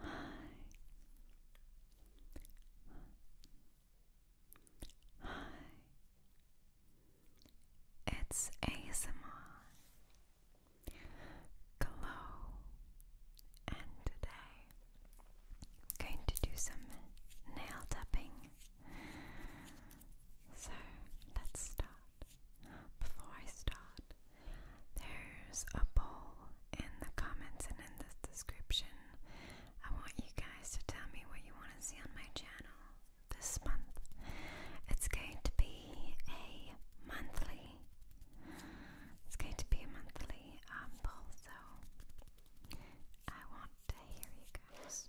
Hi. Hi. It's ASMR. Glow. And today I'm going to do some nail tapping. So let's start. Before I start, there's a poll in the comments and in the description. I want you guys to tell me what you want to see on my channel this month. It's going to be a monthly. It's going to be a monthly um, poll, so I want to hear you guys.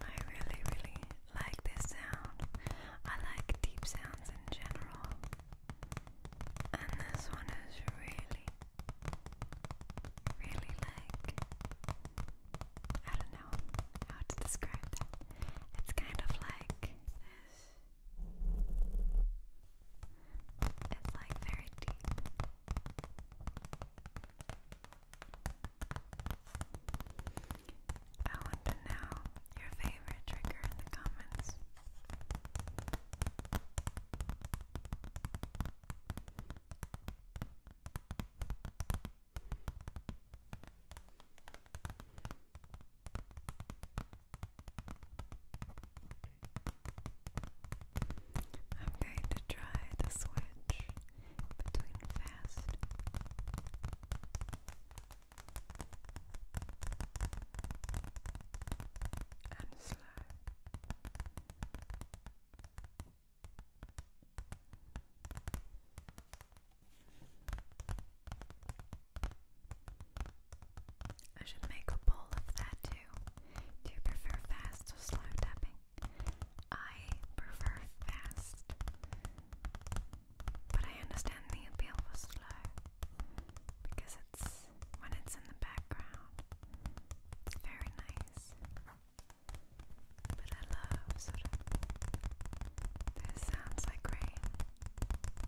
I really, really like this sound. I like deep sounds in general, and this one is really, really like I don't know how to describe that. It's kind of like this. It's like I want to know your favorite trigger in the comments. I'm going to try the switch between fast and slow. I should make a poll of that too. Do you prefer fast or slow tapping? I prefer fast. But I understand the appeal for slow. Because it's when it's in the background. It's very nice. But I love sort of those sounds like rain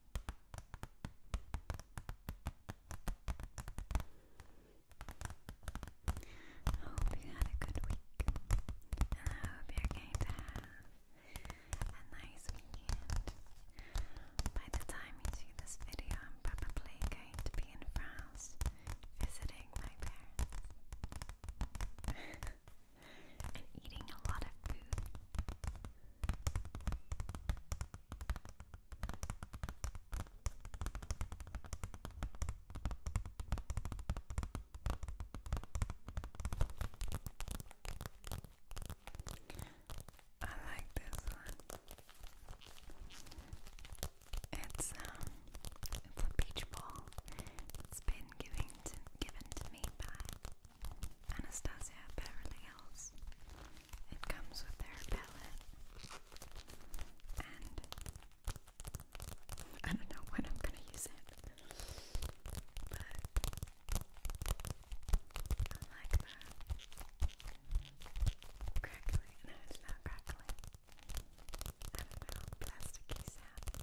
I hope you had a good week, and I hope you're going to have a nice weekend. By the time you see this video, I'm probably going to be in France visiting my parents eating a lot of food. I like this one. It's um, it's a beach ball. It's been given given to me by Anastasia Beverly Hills. It comes with their palette. And I don't know when I'm gonna use it. But I like the crackling. No, it's not crackling. I don't know, plasticky sound.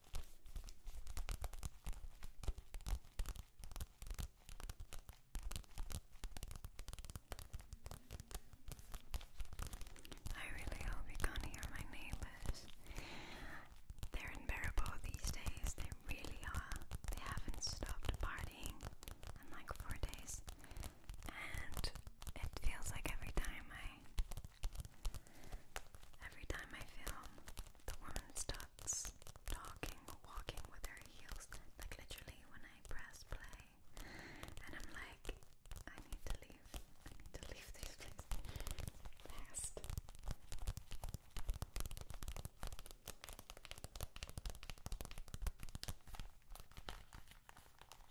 I really hope you can't hear my neighbors. They're unbearable these days, they really are. They haven't stopped partying in like four days. And it feels like every time I Every time I film, the woman starts talking or walking with her heels, like literally when I press play. And I'm like, I need to leave. I need to leave this place fast.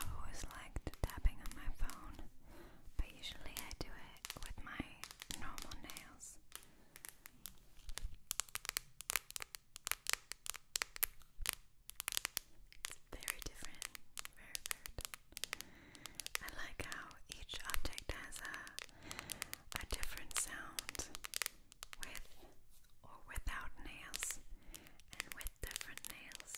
I've always liked tapping on my phone, but usually I do it with my normal nails. It's very different, very, very I like how each object has a, a different sound with or without nails and with different nails.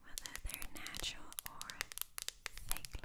Whether they're natural or fake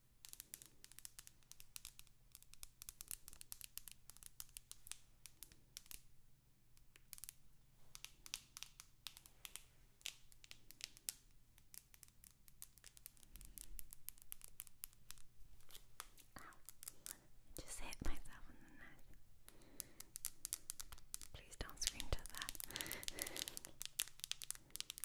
Ow. Just hit myself on the nose. Please don't scream to that.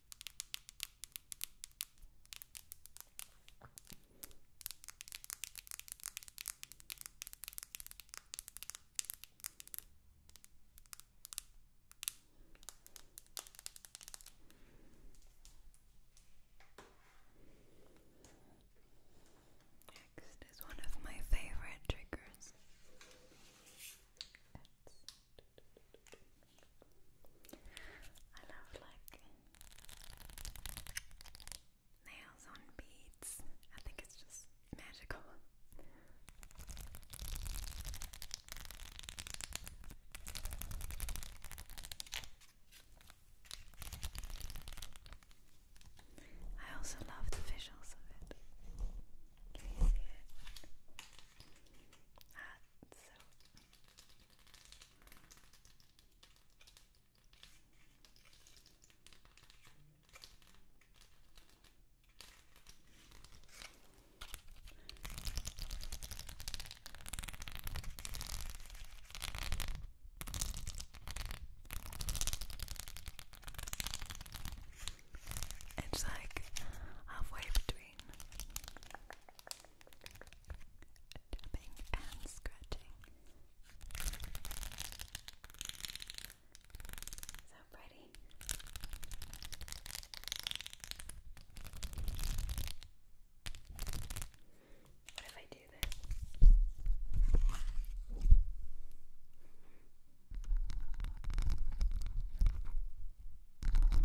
Next is one of my favorite triggers. It's I love like nails on beads. I think it's just magical. I also love the visuals of it. Can you see it? Ah, so it's like halfway between tapping and scratching. So pretty. What if I do this? is risky.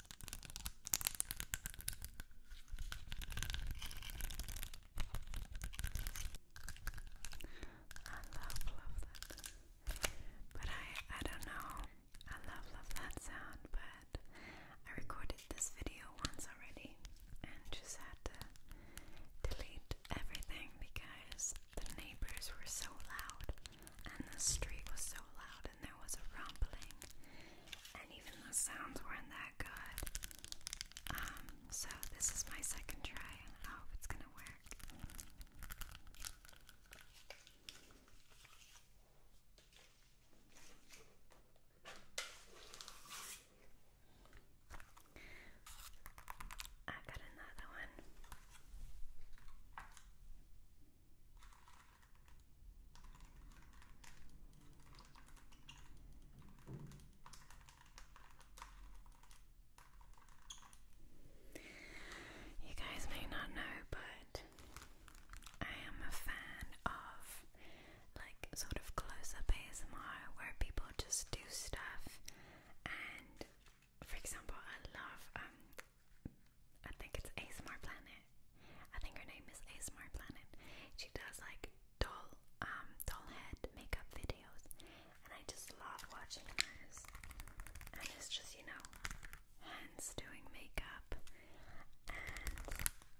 I love love that. But I I don't know. I love love that sound, but I recorded this video once already and just had to delete everything because the neighbors were so loud and the street was so loud there was a rumbling, and even the sounds weren't that good. Um, so this is my second try, I hope it's gonna work. i got another one. You guys may not know, but I am a fan of like sort of close up ASMR where people just do stuff. And for example, I love, um, I think it's ASMR Planet I think her name is ASMR Planet. She does like doll um doll head makeup videos and I just love watching hers. And it's just, you know, hands doing makeup and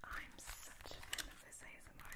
I'm such a fan of this ASMR.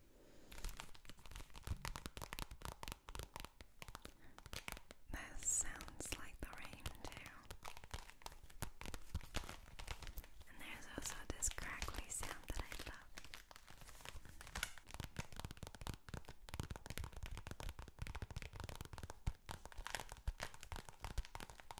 This sounds like the rain too. And there's also this crackly sound that I love.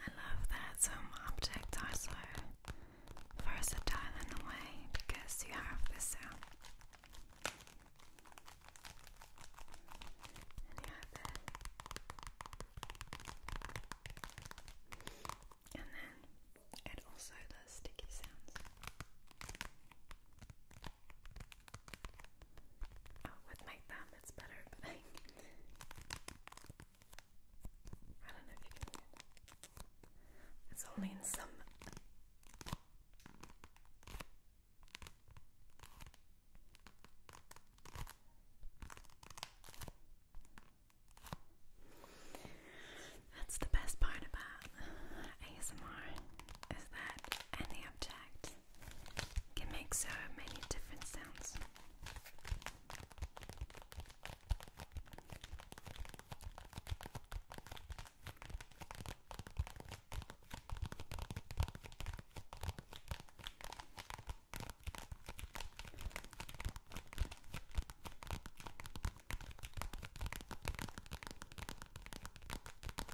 I love that some objects are so versatile in a way because you have this sound and you have that and then it also does sticky sounds. Oh, with my thumb it's better, I, don't know if you can It's only in some. That's the best part about ASMR is that and the object can make so many different sounds.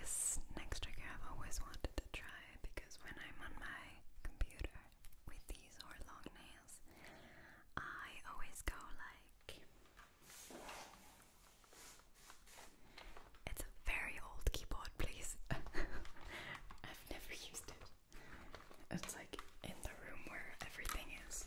This next trigger I've always wanted to try because when I'm on my computer with these or long nails, I always go like. It's a very old keyboard, please. I've never used it. It's like in the room where everything is.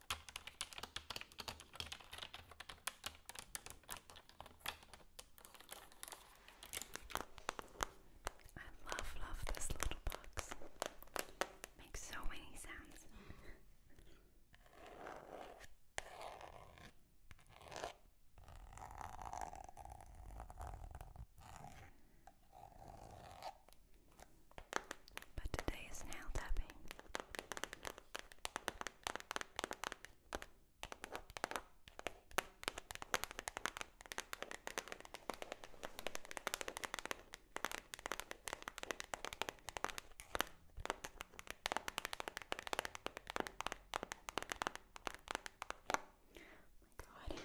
I love, love this little box. Makes so many sounds. But today is nail tapping. Oh my god.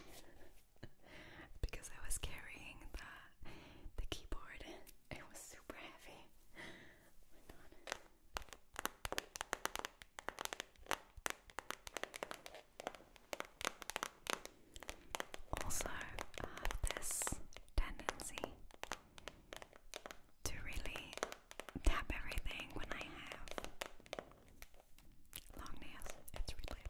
because I was carrying the the keyboard, it was super heavy. Oh also, I have this tendency to really tap everything when I have long nails. It's really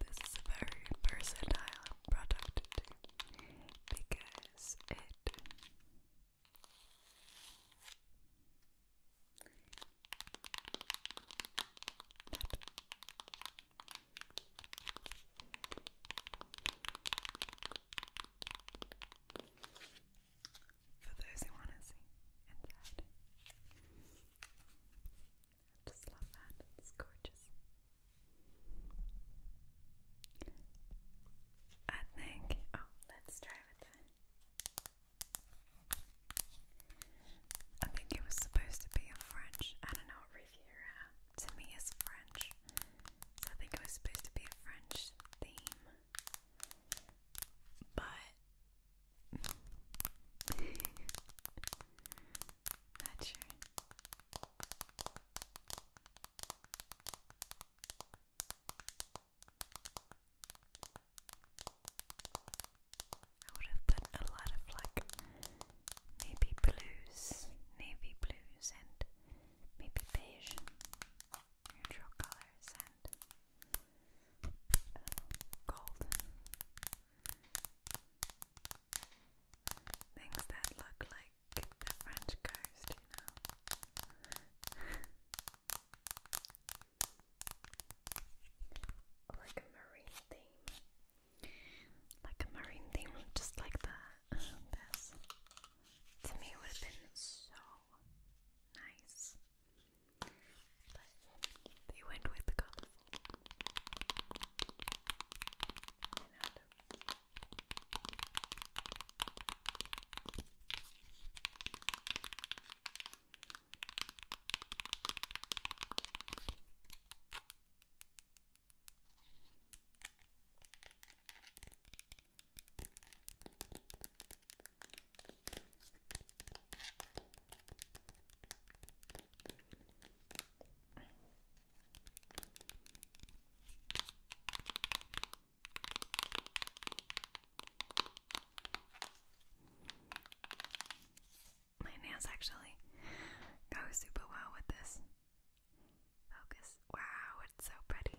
this is a very versatile product because it for those who want to see inside. I just love that. It's gorgeous. I think. Oh, let's try with that. I think it was supposed to be a French. I don't know what Riviera uh, to me is French. I think it was supposed to be a French theme. But not sure. I would have put a lot of like maybe blues, navy blues, and maybe beige, neutral colors, and uh, gold. Things that look like the French coast, you know. like a marine theme. Like a marine theme, just like the, To me, would have been so nice. But they went with the colorful. My nails actually go super well with this. Focus. Wow, it's so pretty.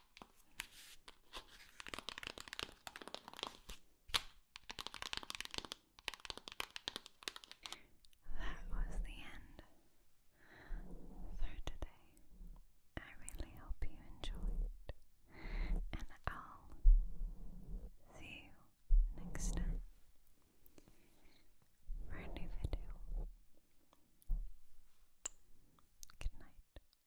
That was the end for today. I really hope you enjoyed, and I'll see you next time for a new video. Good night.